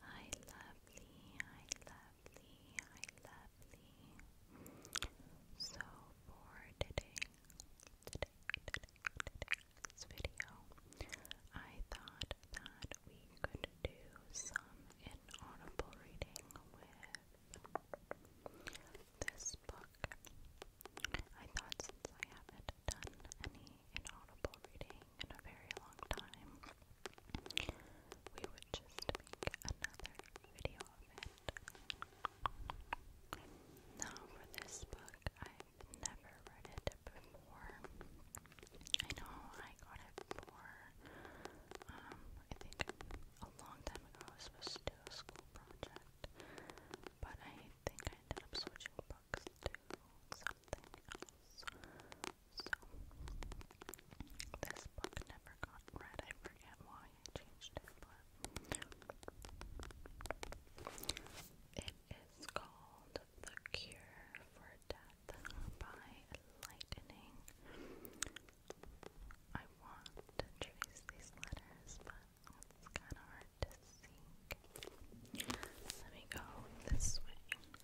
Hi, lovely. Hi, lovely. Hi, lovely. So, for today's video, I thought that we could do some inaudible reading with this book. I thought since I haven't done any an audible reading in a very long time. We would just make another video of it. Now, for this book, i never read it before. I know I got it for, um, I think a long time ago I was supposed to do a school project, but I think I ended up switching books to something else. So, this book never got read. I forget why I changed it, it is called The Cure for Death by Lightning. I want to trace these letters, but it's kind of hard to see. Let me go this way.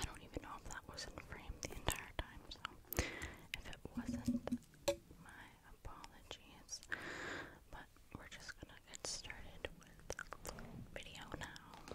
I don't even know if that was in frame the entire time, so if it wasn't, my apologies. But we're just gonna get started with the video now.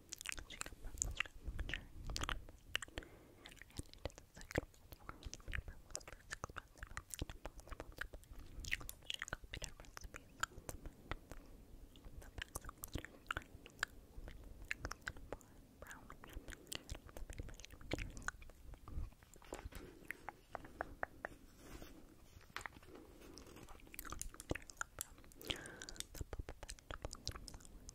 She comes from the structure, and it is a second platform. Paper was less expensive and impossible to buy. So she copied her recipes on the back. The backs of letters are brown, and the paper she made herself. The pop of vegetables and flowers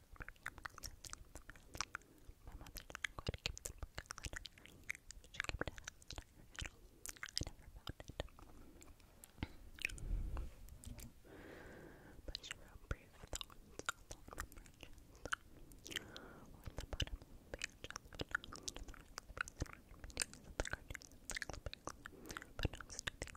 My mother didn't quite give the book a letter. She kept it as an original. I never found it. But she wrote brief thoughts along the margins or at the bottom of the page as but not to the recipes and recipes of the cartoons of the clippings, but not to the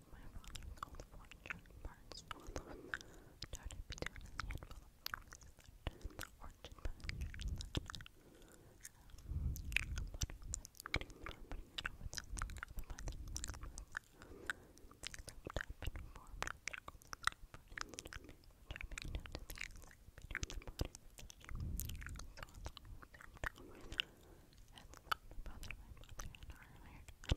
my father called for certain parts of between a handful of and the orchard pasture land. Um, and my mother, and our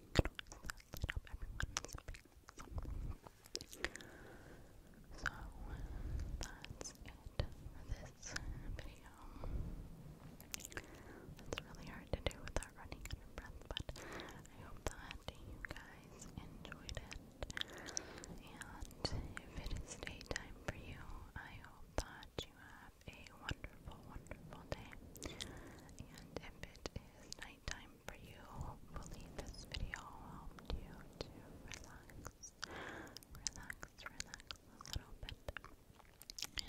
lit So that's it for this video. It's really hard to do without running out of breath, but I hope that you guys enjoyed it. And if it is daytime for you, I hope that you have a wonderful, wonderful day. And if it is nighttime for you, hopefully this video helped you to relax, relax, relax a little bit.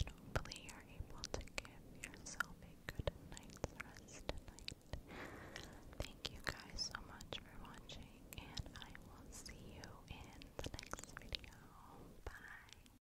And hopefully you're able to give yourself a good night's rest tonight. Thank you guys so much for watching, and I will see you in the next video. Bye.